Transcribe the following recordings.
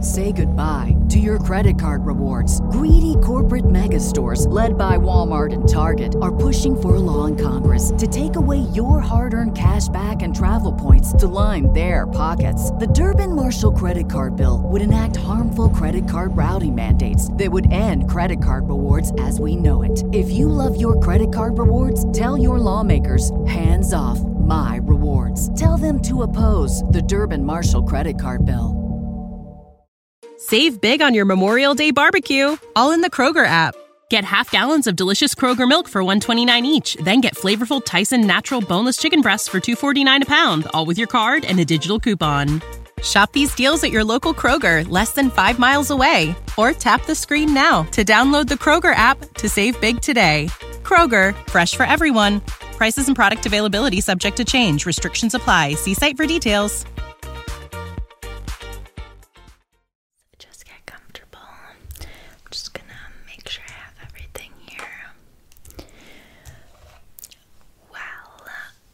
Say goodbye to your credit card rewards. Greedy corporate mega stores, led by Walmart and Target, are pushing for a law in Congress to take away your hard earned cash back and travel points to line their pockets. The Durbin Marshall credit card bill would enact harmful credit card routing mandates that would end credit card rewards as we know it. If you love your credit card rewards, tell your lawmakers hands off my rewards. Tell them to oppose the Durban Marshall credit card bill. Save big on your Memorial Day barbecue, all in the Kroger app. Get half gallons of delicious Kroger milk for 129 each, then get flavorful Tyson natural boneless chicken breasts for 249 a pound, all with your card and a digital coupon. Shop these deals at your local Kroger, less than 5 miles away, or tap the screen now to download the Kroger app to save big today. Kroger, fresh for everyone. Prices and product availability subject to change. Restrictions apply. See site for details. Just get comfortable. I'm just gonna make sure I have everything here. Well,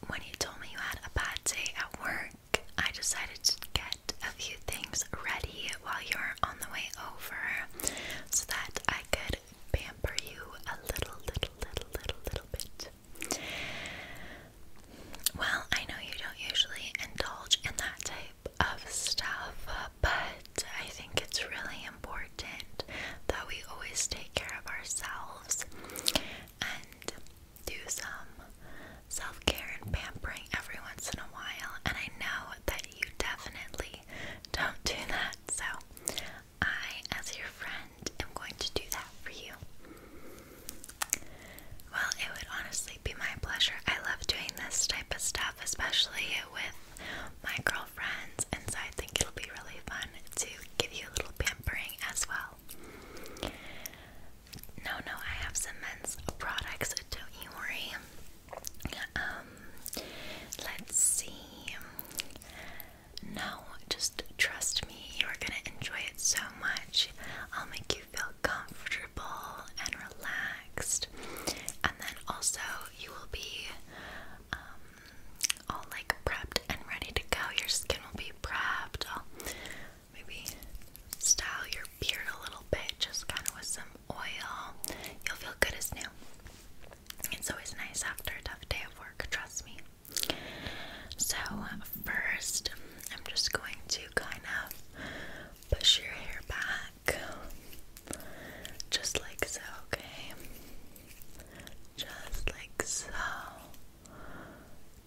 when you told me you had a bad day at work, I decided to get a few things ready while you were on the way over so that I could pamper you a little, little, little, little bit. Well, I know you don't usually indulge in that type of stuff, but I think it's really important that we always take care of ourselves and do some self care and pampering every once in a while. And I know that you definitely don't do that. So, I, as your friend, am going to do that for you. Well, it would honestly be my pleasure. I love doing this type of stuff, especially with my girlfriends, and so I think it'll be really fun to give you a little pampering as well. No, no, I have some men's products, don't you worry. Um, let's see. No, just trust me, you're gonna enjoy it so much. I'll make you feel comfortable and relaxed, and then also you will be um, all like prepped and ready to go. Your skin will be prepped. I'll maybe style your beard a little bit, just kind of with some oil. You'll feel good as new. It's always nice after a tough day of work, trust me. So, first, I'm just going to kind of push your hair back, just like so, okay? Just like so,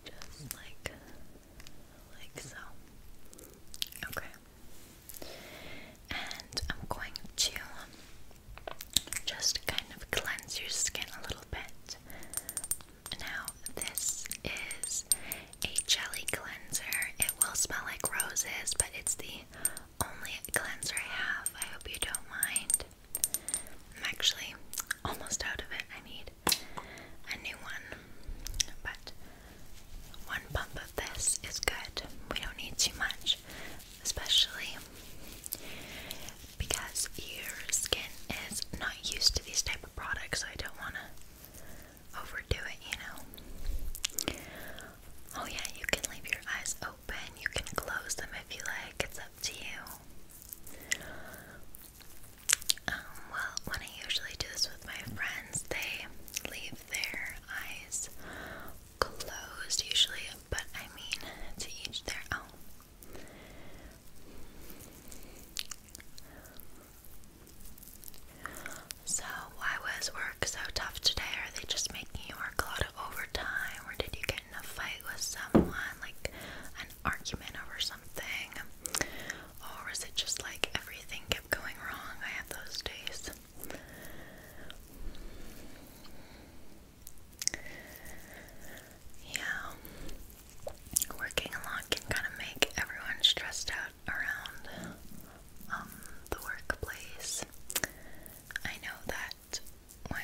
just like, like so. Okay, and I'm going to just kind of cleanse your skin a little bit. Now, this is a jelly cleanser. It will smell like roses, but it's the only cleanser I have. I hope you don't mind. I'm actually almost out of it. I need a new one, but one pump of this is good. We don't need too much especially because your skin is not used to these type of products. I don't want to overdo it, you know. Oh yeah, you can leave your eyes open. You can close them if you like. It's up to you. Um, well, when I usually do this with my friends, they leave their eyes closed usually, but I mean, to each their own. So, why was work so tough today? Are they just making you work a lot of overtime, or did you get in a fight with someone, like an argument over something? Or is it just like everything kept going wrong? I have those days. Yeah. Working a lot can kind of make everyone stressed out around um, the workplace. I know that when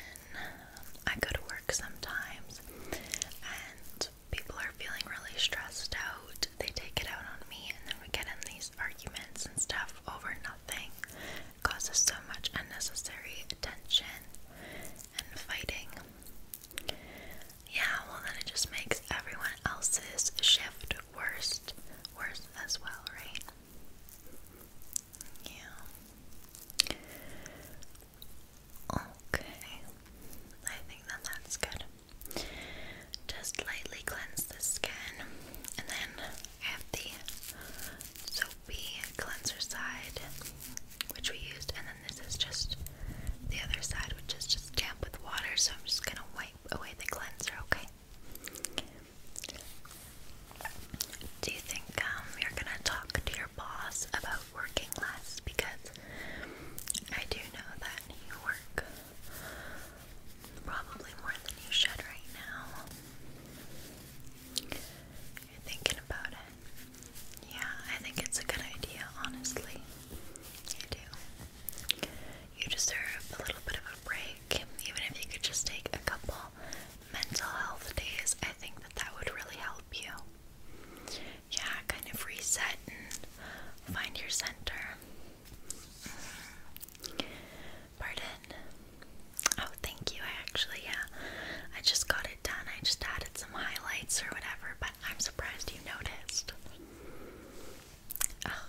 I go to work sometimes and people are feeling really stressed out, they take it out on me, and then we get in these arguments and stuff over nothing causes so much unnecessary tension and fighting. Yeah, well, then it just makes everyone else's shift worse, worse as well, right? Yeah. Okay. I think that that's good. Just lightly cleanse the skin, and then I have the soapy cleanser side, which we used, and then this is just the other side, which is just damp with water. So I'm just gonna wipe away the cleanser, okay? Do you think um, you're gonna talk to your boss about working less? Because I do know that you work Probably more than you should right now. You're thinking about it. Yeah, I think it's a good idea, honestly. You do. You deserve a little bit of a break. Even if you could just take a couple mental health days, I think that that would really help you. Yeah, kind of reset and find your center. Mm-hmm. Pardon. Oh, thank you. I actually, yeah, I just got it done. I just added some highlights or whatever, but I'm surprised you noticed. Oh,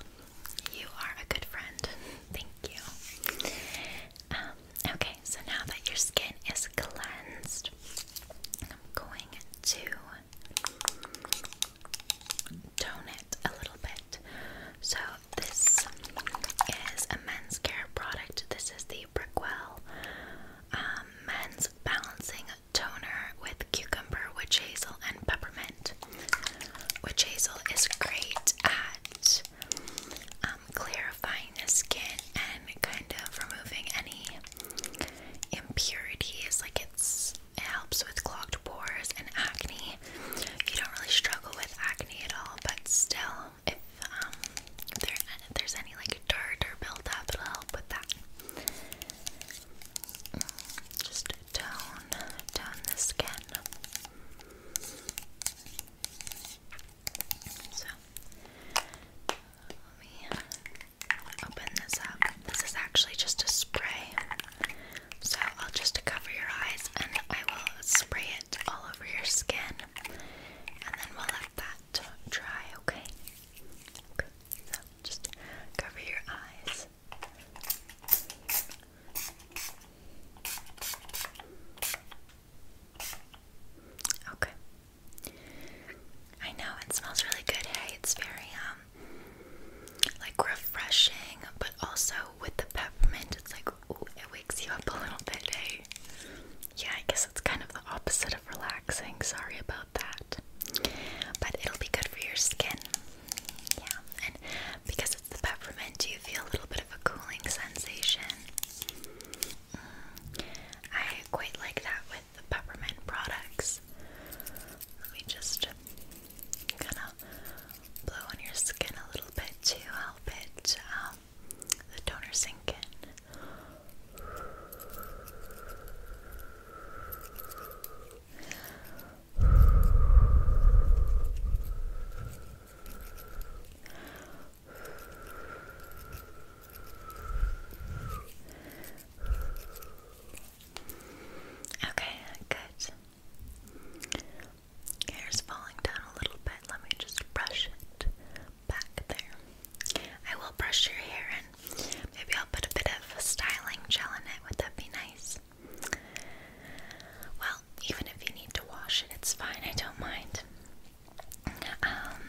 you are a good friend. Thank you. Um, okay, so now that your skin is cleansed, I'm going to tone it a little bit. So this is a men's care product. This is the Brickwell um, Men's Balancing Toner with Cucumber, Witch Hazel, and Peppermint. Witch Hazel is great at um, clarifying the skin and kind of removing any impurities. Like it's, it helps with clogged pores and acne you don't really struggle with acne at all, but still, if um, if, if there's any like dirt or buildup, it'll help with that. Mm, just tone, tone the skin. So, let me open this up. This is actually just a spray. So I'll just cover your eyes and I will spray it all over your skin and then we'll let that dry, okay? Okay, so just cover your eyes. Okay. I know it smells really good. Hey, it's very um like refreshing, but also with the peppermint, it's like, ooh, it wakes you up a little bit, eh? Yeah, I guess it's kind of the opposite of relaxing. Sorry about that. But it'll be good for your skin. Yeah, and because of the peppermint, you feel a little bit of a cooling sensation. Mm, I quite like that with the peppermint products. Let me just kind of blow on your skin a little bit to help it, um, the toner sink in. Okay, good. Hair's falling down a little bit. Let me just brush it back there. I will brush your hair and maybe I'll put a bit of styling gel in it. Would that be nice? Well, even if you need to wash it, it's fine. I don't mind. Um,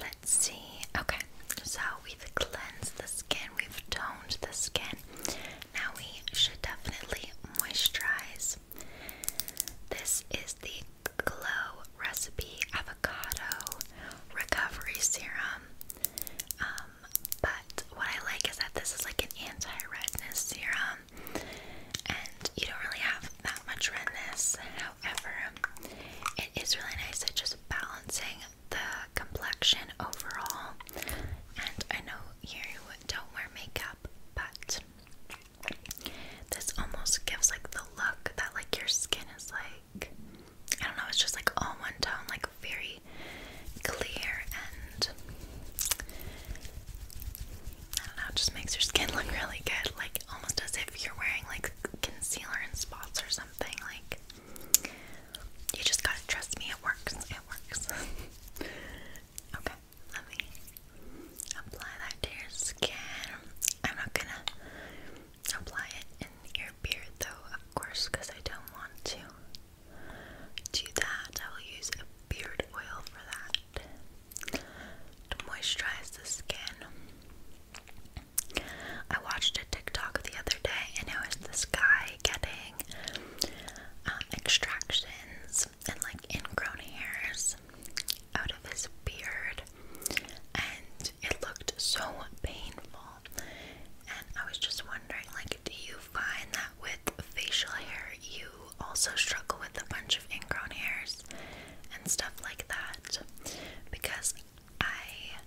let's see. Okay, so we've cleansed the skin, we've toned the skin, now we should definitely moisturize. This is the Glow Recipe Avocado Recovery Serum. Um, but what I like is that this is like an anti-redness serum, and you don't really have that much redness. However, it is really nice at just balancing the complexion overall. And I know you don't wear makeup, but this almost gives like the look that like your skin is like I don't know, it's just like all one tone, like very clear and I don't know, it just makes your skin look really good, like almost as if you're wearing like concealer and spots or something. Like you just gotta trust me, it works, it works. okay let me apply that to your skin. I'm not gonna apply it in your beard though, of course, because I don't want to do that. I will use a beard oil for that to the skin. I watched a TikTok the other day and it was this guy getting um, extractions and like ingrown hairs out of his beard, and it looked so painful. And I was just wondering, like, do you find that with facial hair you also struggle with a bunch of ingrown hairs and stuff like that? Because I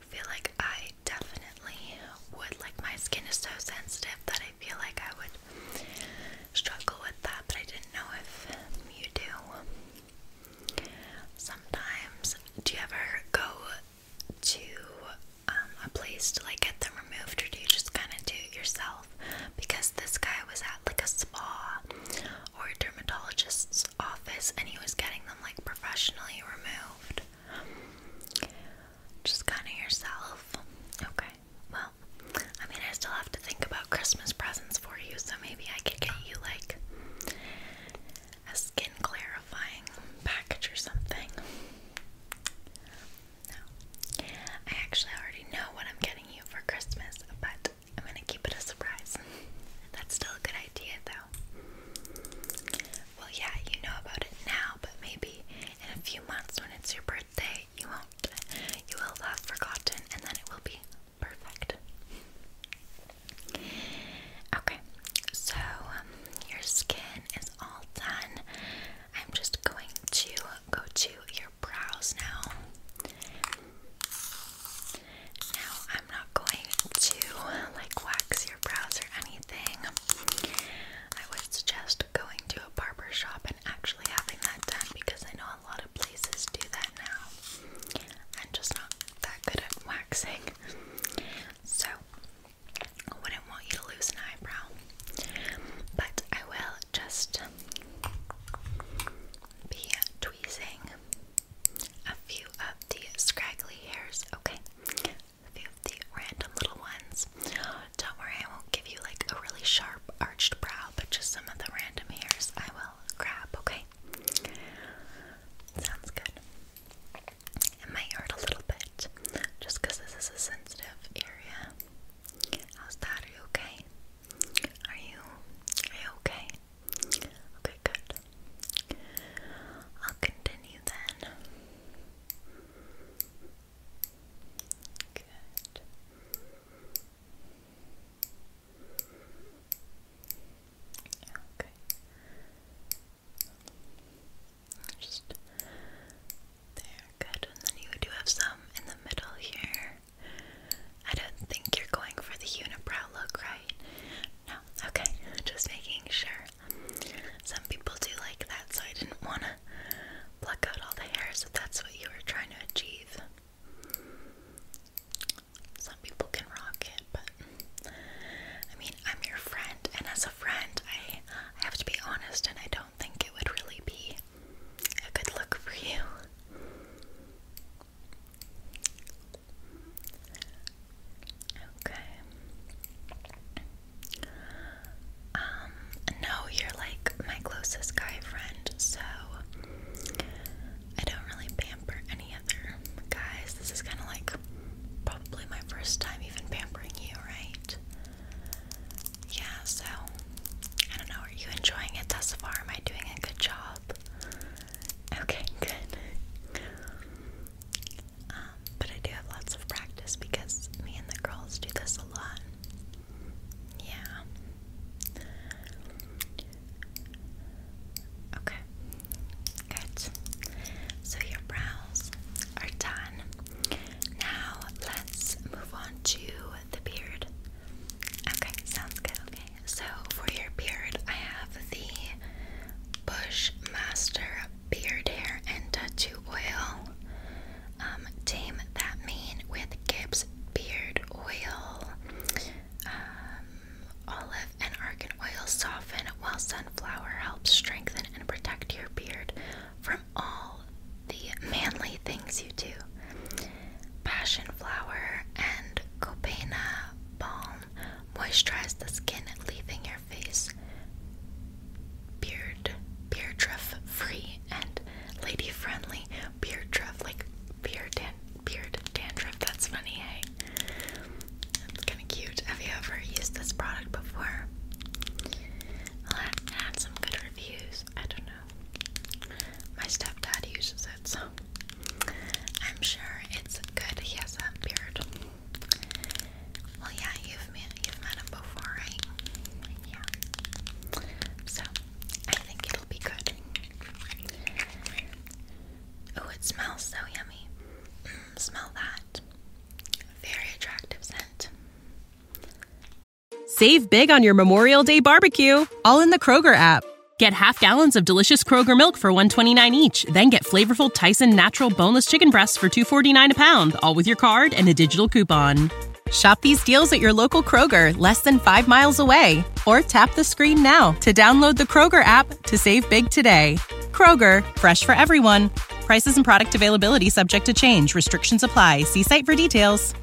feel like I definitely would. Like, my skin is so sensitive that I feel like I would struggle with that, but I didn't know if you do. Sometimes, do you ever go to um, a place to like get them removed, or do you just kind of do it yourself? Because this guy was at like a spa or a dermatologist's office, and he was getting them like professionally removed. Just kind of yourself. Okay well, I mean, I still have to think about Christmas presents for you, so maybe I could get you like a skin clarifying package or something. No, I actually already know what I'm getting you for Christmas, but I'm gonna keep it a surprise. That's still a good idea, though. Well, yeah, you know about it now, but maybe in a few months when it's your birthday birthday, you won't. You will have forgotten, and then it will be perfect. Okay, so um, your skin is all done. I'm just going to go to your brows now. Now, I'm not going to like wax your brows or anything. I would suggest going to a barber shop and actually having that done because I know a lot of places do that now. I'm just not that good at waxing. So, I wouldn't want you to lose an eyebrow. But I will just be tweezing a few of the scraggly hairs, okay? 50 random little ones. Don't worry, I won't give you like a really sharp arched brow, but just some of the random hairs I will grab, okay? Sounds good. It might hurt a little bit just because this is a sensitive area. How's that? Are you okay? Are you, are you okay? Okay, good. I'll continue then. Good. Okay. Just there, good. And then you do have some in the middle here. I don't think you're going for the unibrow look, right? No, okay. Just making sure. Some people do like that, so I didn't wanna pluck out all the hairs if that's what you were trying to achieve. Some people can rock it, but I mean, I'm your friend, and as a friend, I, I have to be honest, and I don't think it would really be a good look for you. Okay. Um, no, you're like my closest guy friend, so I don't really pamper any other guys. This is kind of like probably my first time even pampering you, right? Yeah, so I don't know. Are you enjoying it thus far? Am I doing a good job? Okay, good. Um, but I do have lots of practice because me and the girls do this a lot. Yeah. Okay. Good. So your brows are done. Now let's move on to the beard. Okay, sounds good. Okay. So for your beard, I have the Bushmaster beard hair and tattoo oil. Um, tame that mane with Gibbs beard oil. Um, olive and argan oil soften while sunflower helps strengthen and protect your beard from all the manly things you do. Passion flower and copena balm moisturize the skin, leaving your face beard beard free and lady friendly beardruff, like beard dan beard dandruff. That's funny, hey. That's kinda cute. Have you ever used this product before? Well, I have some good reviews. I don't know. My stepdad uses it, so I'm sure it's good. He has a beard. Well, yeah, you've met you've met him before, right? Yeah. So I think it'll be good. Oh, it smells so yummy. Mm, smell that. Very attractive scent. Save big on your Memorial Day barbecue, all in the Kroger app. Get half gallons of delicious Kroger milk for 129 each, then get flavorful Tyson natural boneless chicken breasts for 249 a pound, all with your card and a digital coupon. Shop these deals at your local Kroger, less than five miles away, or tap the screen now to download the Kroger app to save big today. Kroger, fresh for everyone. Prices and product availability subject to change. Restrictions apply. See site for details.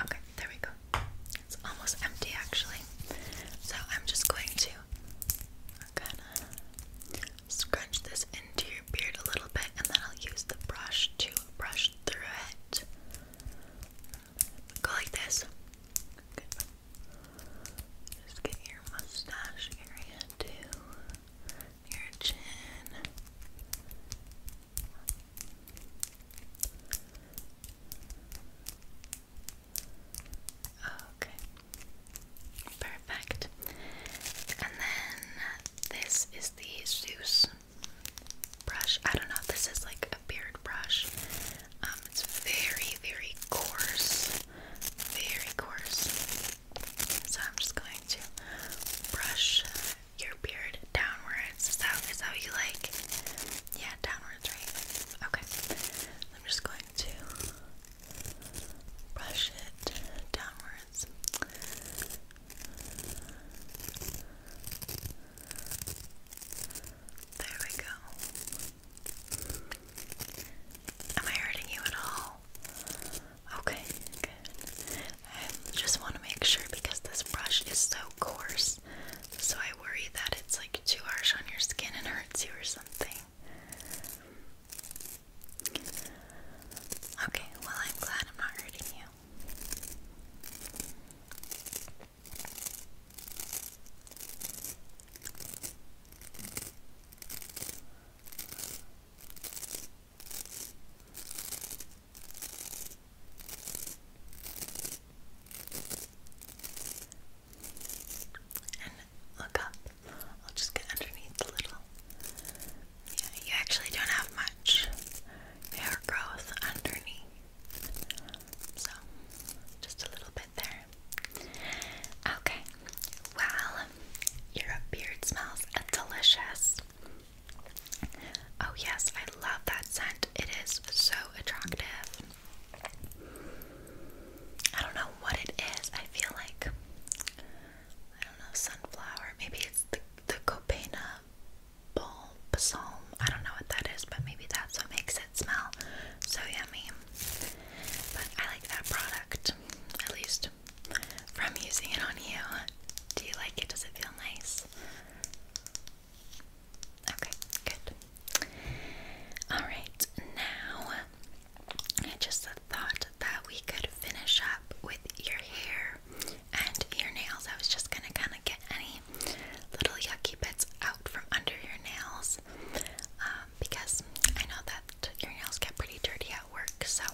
Okay, there we go. It's almost empty actually. So I'm just going to kind of scrunch this into your beard a little bit and then I'll use the brush to brush through it. Go like this. Just get your mustache area too. Your chin. Okay. Perfect. And then this is the Zeus brush. I don't know, this is like a beard brush. Um, it's very, very coarse. Very coarse. So I'm just going to brush your beard downwards. Is that, is that what you like? Yeah, downwards, right? Okay. I'm just going to brush it downwards. There we go. Am I hurting you at all? Okay, I just want to make sure because this brush is so coarse so I worry that it's like too harsh on your skin and hurts you or something. Okay, well, I'm glad I'm not hurting you and look up. I'll just get underneath a little. Yeah, you actually don't have much hair growth underneath. So, just a little bit there. Okay, well, your beard smells delicious. Oh, yes, I love that scent. It is so attractive. I don't know what it is. I feel like I don't know sunflower. Maybe it's the the Copena bulb psalm. I don't know what that is, but maybe that's what makes it smell so yummy. But I like that product, at least from using it on you. Do you like it? Does it feel nice? Okay, good. Alright, now just the thought that we could finish up with your hair and your nails. I was just gonna kind of get any little yucky bits out from under your nails um, because I know that your nails get pretty dirty at work. So,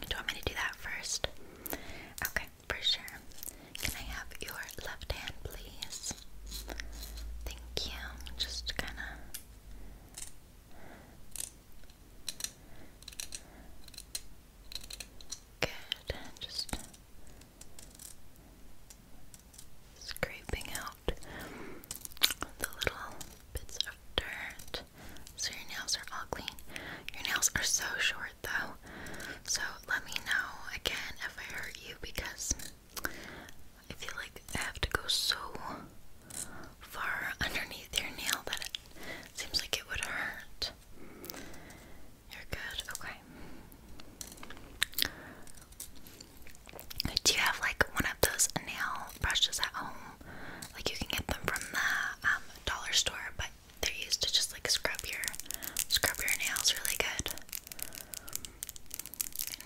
do you want me to do that first? Okay, for sure. Can I have your left hand, please? Thank you. Just kind of. Good. Just scraping out the little bits of dirt. So your nails are all Your nails are so short though. So let me know again if I hurt you because I feel like I have to go so far underneath your nail that it seems like it would hurt. You're good, okay. Do you have like one of those nail brushes at home? Like you can get them from the um, dollar store, but they're used to just like scrub your scrub your nails really good.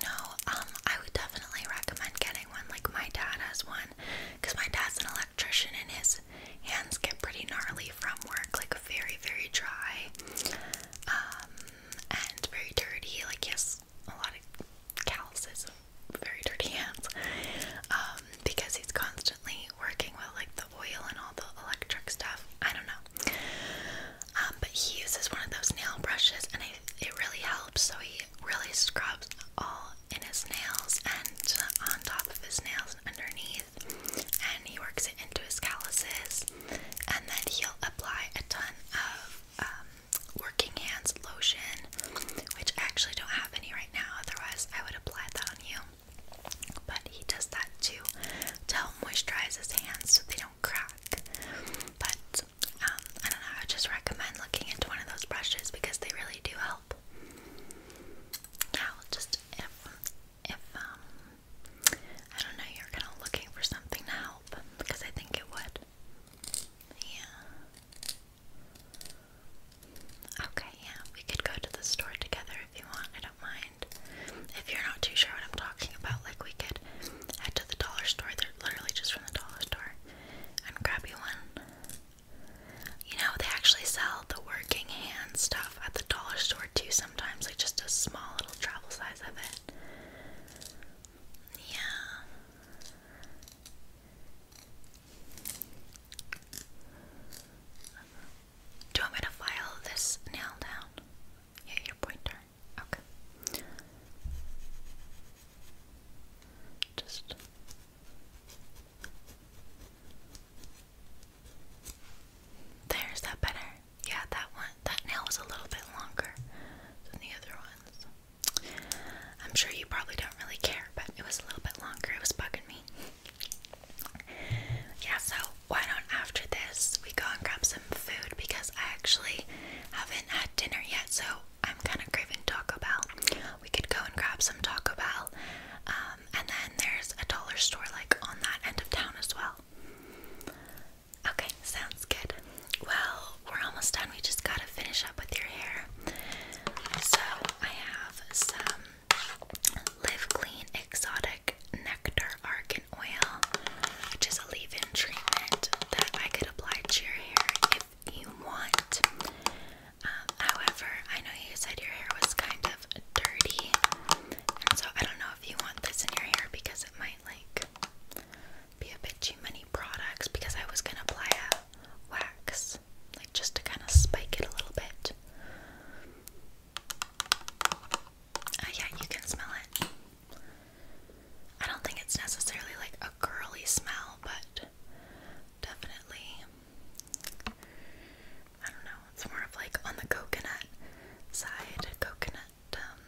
No, um, I would definitely recommend getting one. Like my dad has one, because my dad's an electrician and his hands get pretty gnarly from work, like very, very dry, um, and very dirty. Like he has a lot of calluses, very dirty hands, um, because he's constantly working with like the oil and all the electric stuff. I don't know. Um, but he uses one of those nail brushes and it, really helps. So he really scrubs all in his nails and on top of his nails underneath. And he works it into his calluses. And then he'll apply a ton of um, working hands lotion, which I actually don't have any right now. Otherwise, I would apply that on you. But he does that too to help moisturize his hands so they don't don't crack. But um, I don't know, I would just recommend looking into one of those brushes because they really do help. Now, just if, if, um, I don't know, you're kind of looking for something to help because I think it would. Yeah. Okay, yeah, we could go to the store together if you want, I don't mind. If you're not too sure what I'm talking about, like we could head to the dollar store. They're literally just from the dollar store and grab you one. You know, they actually sell the working hand stuff at the dollar store too sometimes, like just a small little travel size of it. Yeah. Do you want me to file this nail down? Yeah, your pointer. Okay. Just there's that better. Yeah, that one that nail was a little bit longer than the other ones. I'm sure you probably don't really care, but it was a little bit longer. It was bugging me. Yeah, so why don't after this we go and grab some food because I actually haven't had dinner yet, so I'm kind of craving Taco Bell. We could go and grab some Taco Bell, um, and then there's a dollar store like on that end of town as well. Okay, sounds good. Well, we're almost done. We just gotta finish up with your hair. So I have some Live Clean Exotic Nectar Argan oil, which is a leave in treatment that I could apply to your hair if you want. Um, however, I know you said your hair was kind of dirty, and so I don't know if you want this in your hair because it might like be a bit too many products. Because I was gonna apply a wax, like just to kind of spike it a little bit. Uh, yeah, you can smell it. I don't think it's necessarily like a girly smell, but definitely. I don't know, it's more of like on the coconut side, coconut um,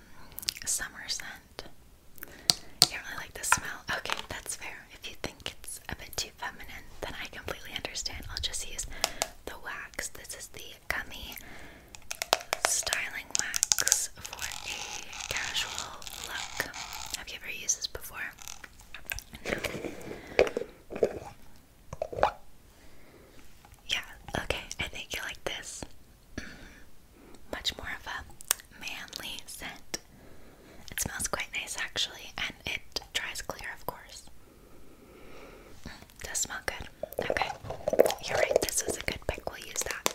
summer scent. You don't really like the smell? Okay, that's fair. If you think it's a bit too feminine, then I completely understand. I'll just use the wax. This is the gummy styling wax for a casual look. Have you ever used this before? Yeah, okay, I think you like this. Mm-hmm. much more of a manly scent. It smells quite nice actually, and it dries clear, of course. Mm does smell good. Okay, you're right, this was a good pick. We'll use that.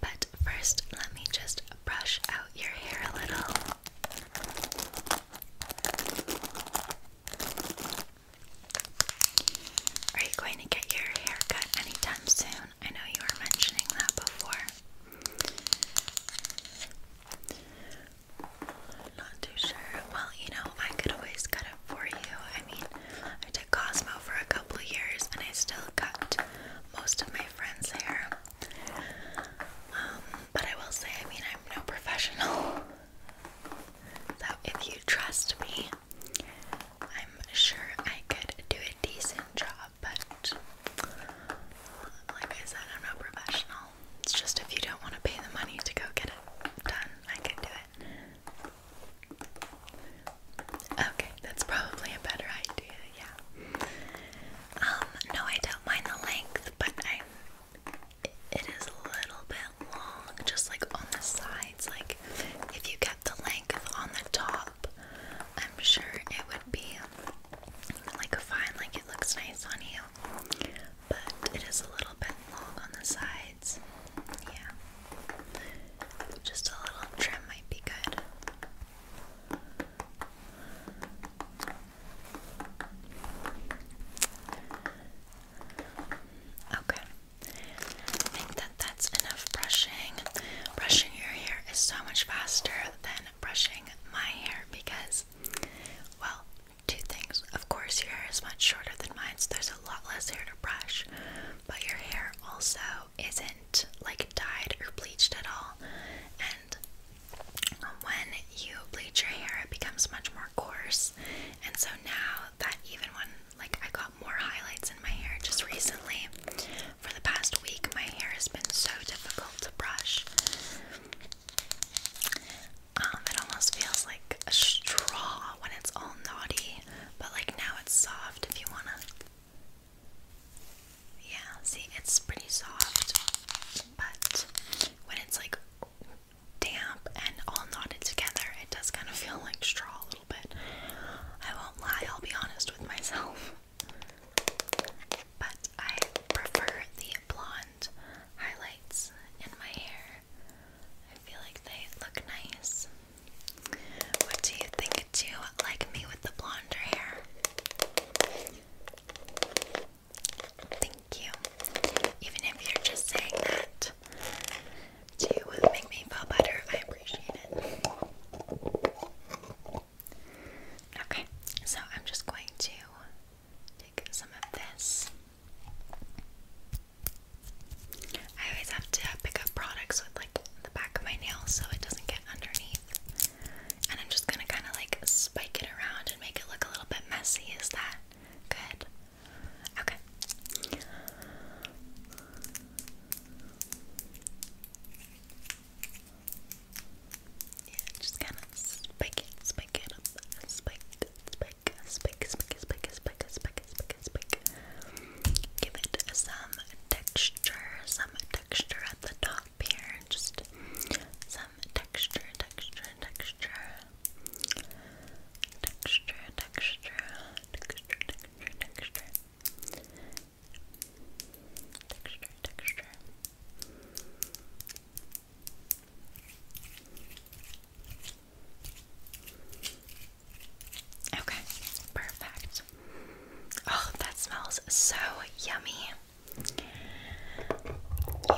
But first, let me just brush out your hair a little. Are you going to get your hair cut anytime soon? I know you were mentioning that before. Not too sure. Well, you know, I could always cut it for you. I mean, I did Cosmo for a couple years and I still cut most of my friends' hair. Um, but I will say, I mean, I'm no professional. So if you trust me, I'm sure I could do a decent job, but like I said, I'm no professional. It's just if you don't want to pay the money to go get it done, I can do it. Okay, that's probably a better idea, yeah. Um, no, I don't mind the length, but I'm is a little bit long, just like on the sides. Like if you kept the length on the top, I'm sure it would be like fine, like it looks nice on you but it is a little bit long on the sides. Yeah, just a little trim might be good. Okay, I think that that's enough brushing. Brushing your hair is so much faster than brushing my hair because, well, two things. Of course, your hair is much shorter than mine, so there's a lot less hair to brush, but your hair also isn't like dyed or bleached at all. And um, when you bleach your hair, it becomes much more coarse. And so now that even when like I got more highlights in my hair just recently, for the past week, my hair has been so difficult to brush. Um, it almost feels like a straw when it's all naughty, but like now it's soft if you wanna. Yeah, see, it's pretty soft, but when it's like damp and all knotted together, it does kind of feel like straw a little bit. I won't lie, I'll be honest with myself. But I prefer the blonde highlights in my hair I feel like they look nice. What do you think? Do you like me with the blonder hair? Thank you. Even if you're just saying that to make me feel better, I appreciate it. Okay, so I'm just going to take some of this I always have to pick up products with like the back of my nail so it doesn't get underneath. And I'm just gonna kind of like spike it around and make it look a little bit messy. Is that good? Okay. Yeah, just kind of spike it, spike it up, spike, spike, spike, spike, spike, spike, spike, spike, pick, pick. Give it some texture, some texture at the top here. Just some texture, texture. Texture, texture, texture, texture, texture. Texture, texture. Okay, perfect. Oh, that smells so yummy.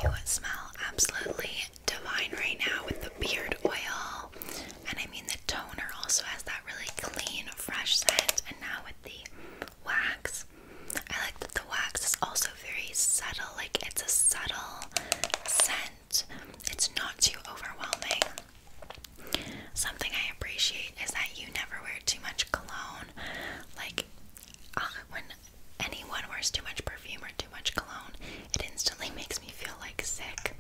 You smell absolutely divine right now with the beard oil. And I mean, the toner also has that really clean, fresh scent. And now with the wax, I like that the wax is also very subtle. Like, it's a subtle scent it's not too overwhelming. Something I appreciate is that you never wear too much cologne. Like, uh, when anyone wears too much perfume or too much cologne, it instantly makes me feel like sick.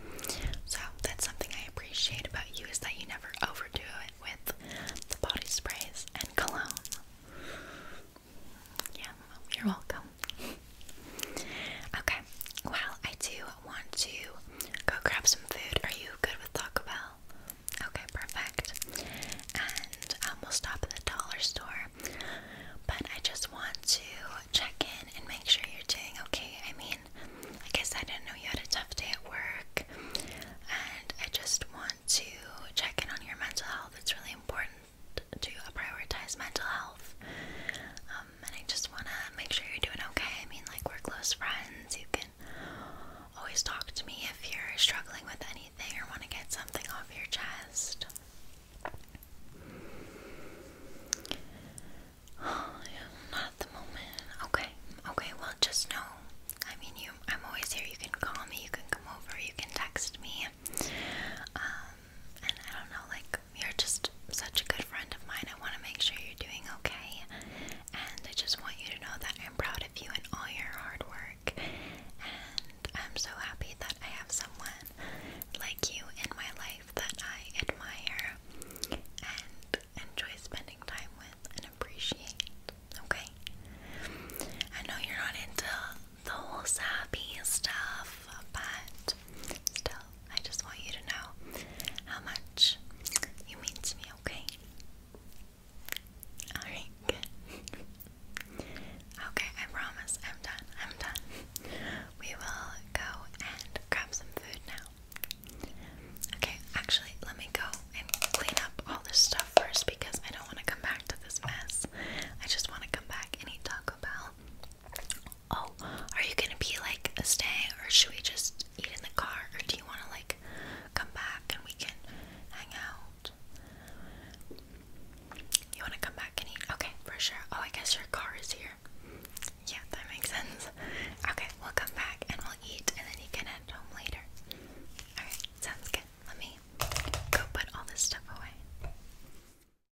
So, that's something I appreciate about you is that you never overdo it with the body sprays and cologne. Yeah. You're welcome. Okay, well, I do want to go grab some food. Are you good with Taco Bell? Okay, perfect. And um, we'll stop at the dollar store. But I just want to check in and make sure you're doing okay. I mean, like I said, I know you had a tough day at work, and I just want to check in on your mental health. It's really important to prioritize mental health. Um, and I just want to make sure you're doing okay. I mean, like, we're close friends. You can always talk to me if you're struggling with anything or want to get something off your chest. not at the moment. Okay, okay, well, just know. I mean, you. I'm always here. You can call me, you can come over, you can text me. Um, and I don't know, like, you're just such a good friend of mine. I want to make sure you're doing okay, and I just want you to know that I'm proud of you and all your hard work. And I'm so happy that I have someone like you in my life that I admire and enjoy spending time with and appreciate. Okay? I know you're not into the whole sappy stuff, but Still, I just want you to know how much you mean to me, okay? Alright, good. okay, I promise. I'm done. I'm done. We will go and grab some food now. Okay, actually, let me go and clean up all this stuff first because I don't want to come back to this mess. I just want to come back and eat Taco Bell. Oh, are you gonna be like staying, or should we just eat in the car, or do you want to like come back and we can hang out? You want to come back and eat? Okay, for sure. Oh, I guess your car is here. Yeah, that makes sense. Okay, we'll come back and we'll eat, and then you can head home later. Alright, sounds good. Let me go put all this stuff away.